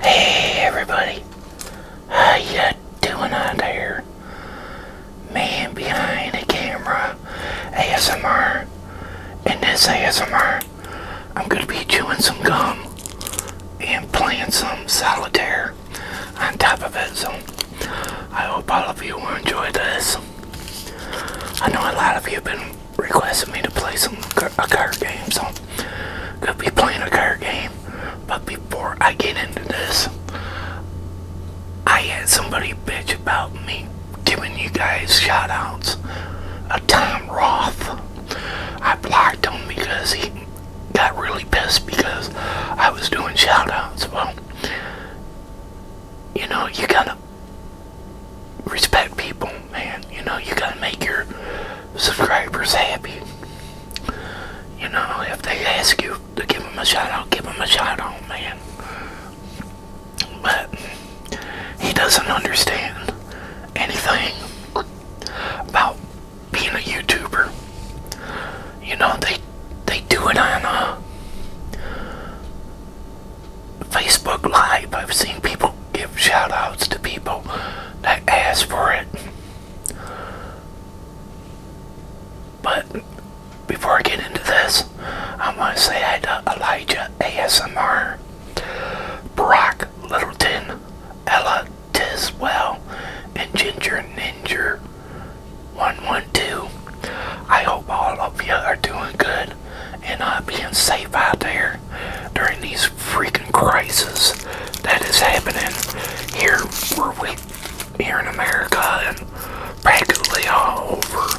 Hey everybody, how you doing out there? Man behind the camera, ASMR. In this ASMR, I'm gonna be chewing some gum and playing some solitaire on top of it. So I hope all of you will enjoy this. I know a lot of you have been requested me to play some a card game, so could be playing a card game. But before I get into this, I had somebody bitch about me giving you guys shout outs. A Tom Roth. I blocked him because he got really pissed because I was doing shout outs. Well, you know, you gotta respect people, man. You know, you gotta make your subscribers happy. You know, if they ask you to give them a shout out, give them a shout out, man. But he doesn't understand anything about being a YouTuber. You know, they they do it on a uh, Facebook Live, I've seen people give shoutouts to people that ask for it. But before I get into this, I want to say hi to Elijah ASMR, Brock Littleton, Ella Tiswell, and Ginger Ninja 112. I hope all of you are doing good and uh, being safe out there during these freaking crises that is happening here where we here in America and practically all over.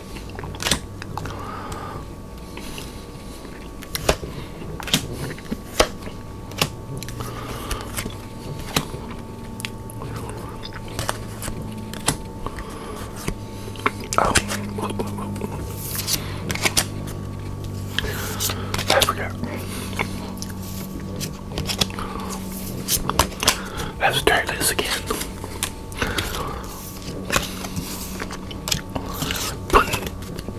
Oh, I forgot. Let's try this again putting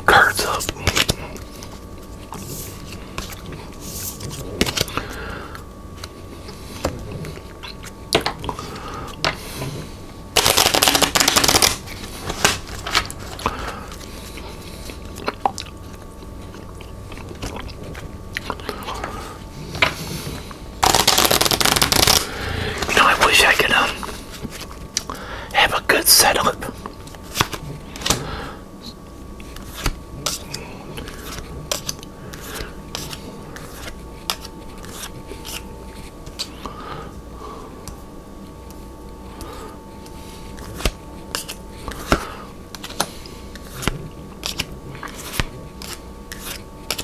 cards up. You I wish I could um, have a good setup.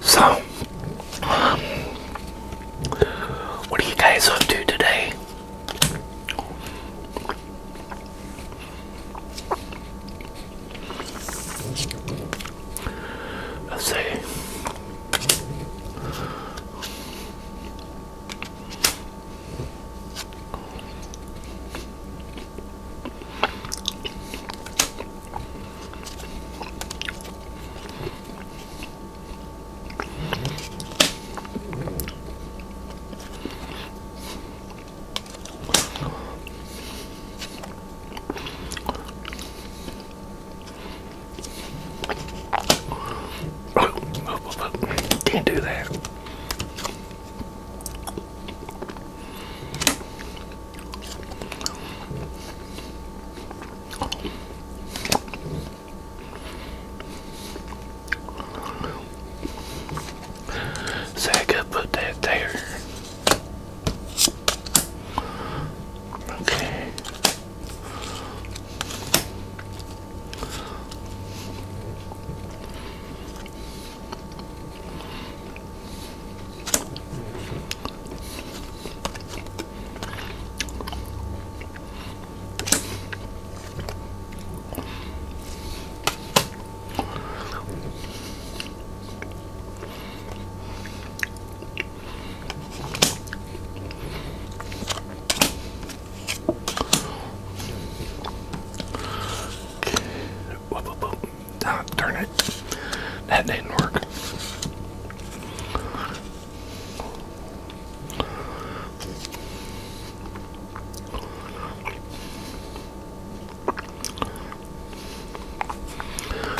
So, what are you guys up to today? Let's see. Can't do that. So I could put that there. Okay. Whoop, whoop, whoop. Ah, darn it. That didn't work.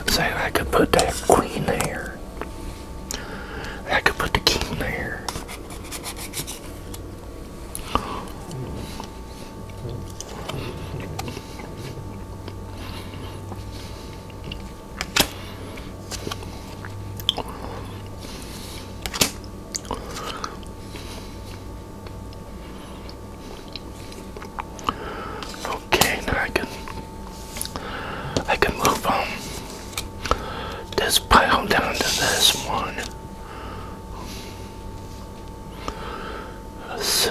Say I could put that queen there. I could put the king there. Okay, now I can I can move um, this pile down to this one. Let's see.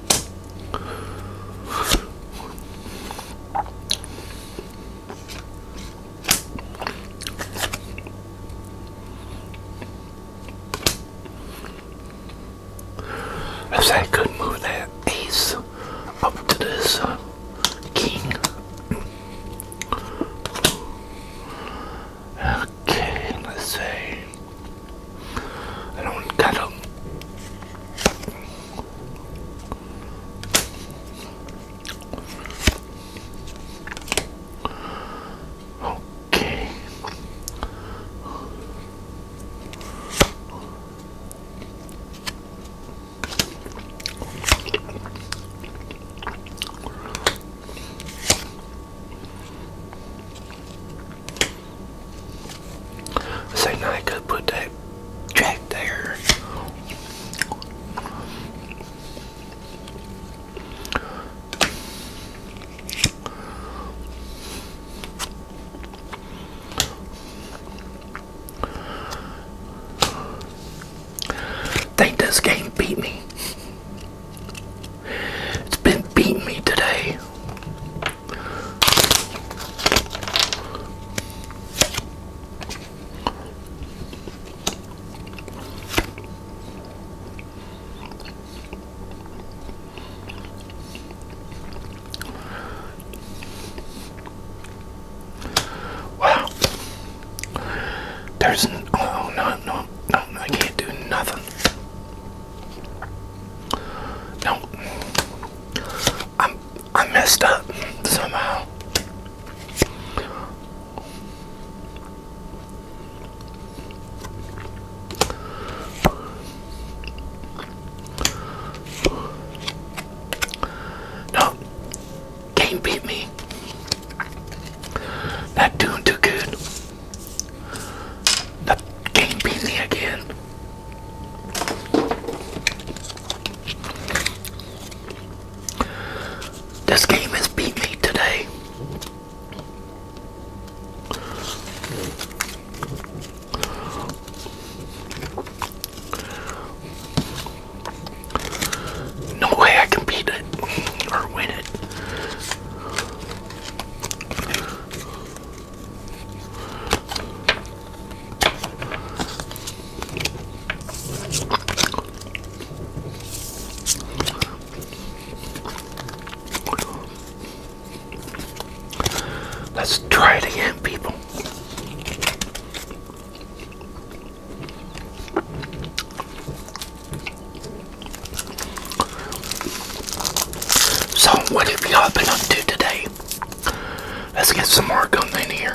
I said I could not move that ace up to this uh, king. Okay, let's see. I don't got them. Okay. So now I could put that track there. Think this game beat me. It's been beating me today. Wow. There's oh no no no I can't do nothing. No, i I messed up somehow. No, game beat me. Not doing too good. The game beat me again. This game has beat me today. No way I can beat it or win it. Let's try it again, people. So, what have we all been up to today? Let's get some more going in here.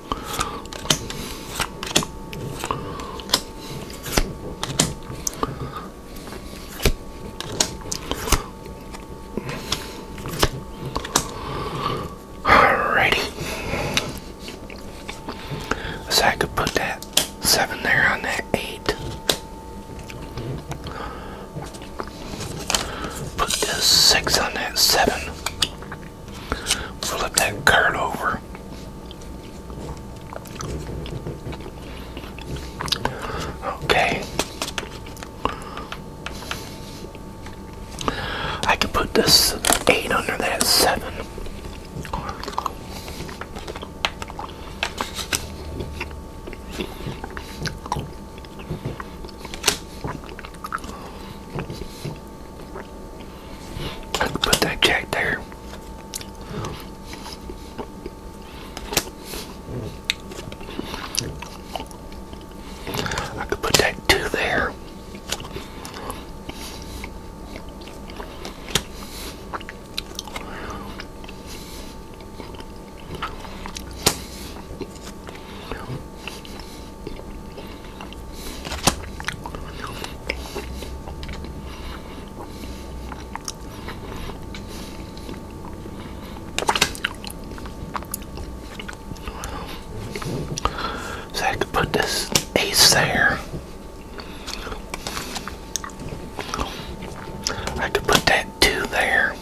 Alrighty. So I could put that seven there on that eight. Put this six on that seven. Flip that card over. Okay. I can put this 8 under that 7. Put that jack there. I could put that two there. So I could put this ace there. I could put that two there.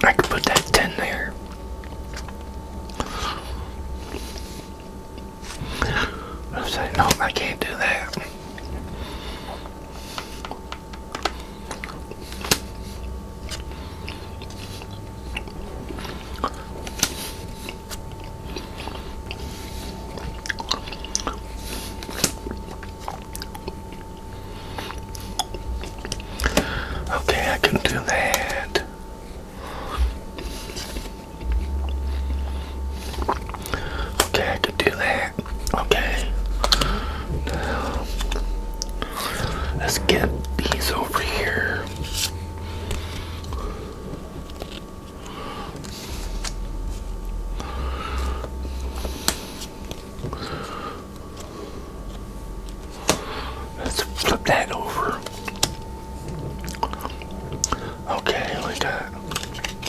I could put that 10 there. I am saying no, I can't do that. Okay, I can do that. Okay, I can do that. Okay. let's get these over here. Let's flip that over. Okay, like that.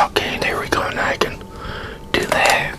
Okay, there we go. Now I can do that.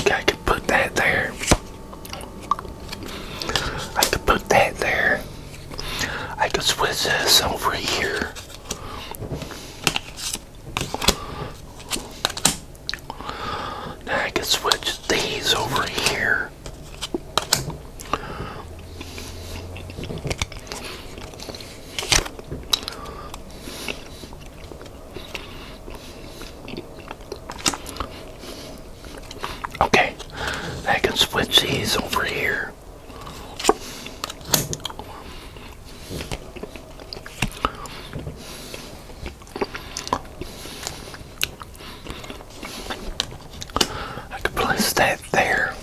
Okay, I can put that there. I could put that there. I could switch this over here. Now I could switch these over here. Okay, I can switch these over here. I can place that there.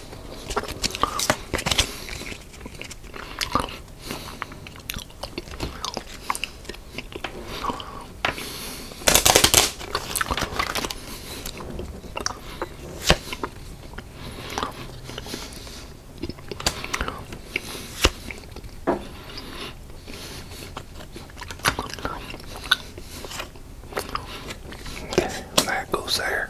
That goes there.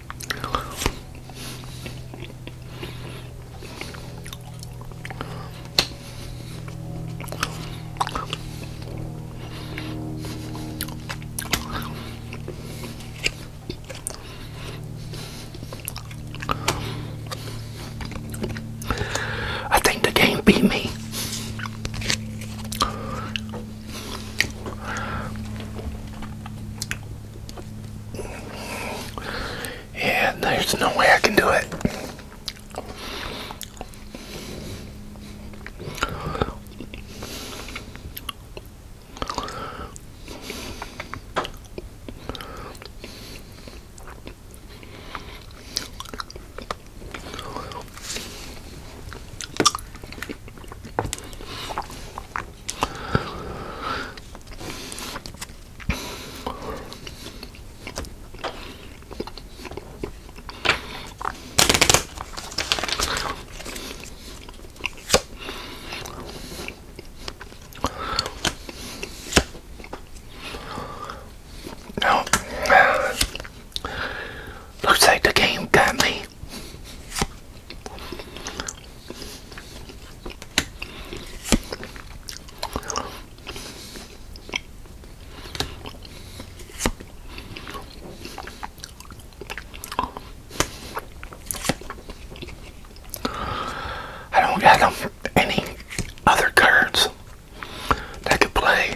I think the game beat me. Yeah, there's no way I can do it. No, looks like the game got me. I don't have any other cards that can play.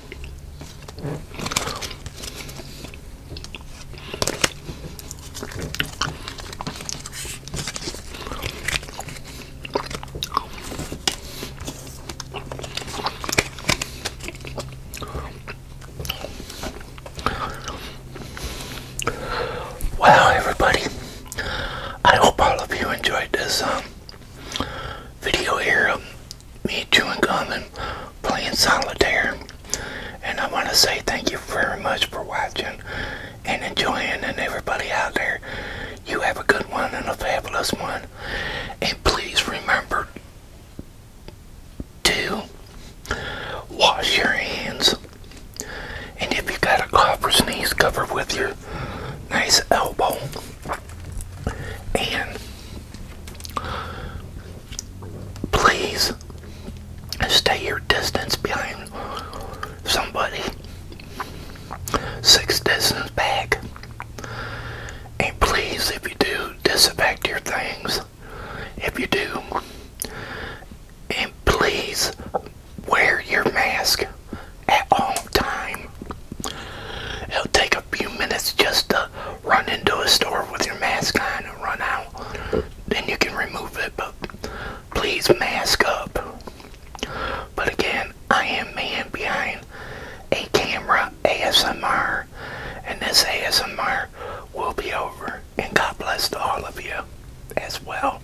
Well, everybody, I hope all of you enjoyed this um, video here. Um, me chewing gum and playing solitaire. And I want to say thank you very much for watching and enjoying. And everybody out there, you have a good one and a fabulous one. And please remember to wash your hands. And if you got a cough or sneeze, cover with your nice elbow. And please stay your distance behind somebody. Six distance back. And please, if you do, disinfect your things. If you do, and please wear your mask at all time. It'll take a few minutes just to run into a store with your mask on and run out. Then you can remove it, but please mask up. But again, I am man behind a camera ASMR, and this ASMR will be over. And God bless to all of you as well.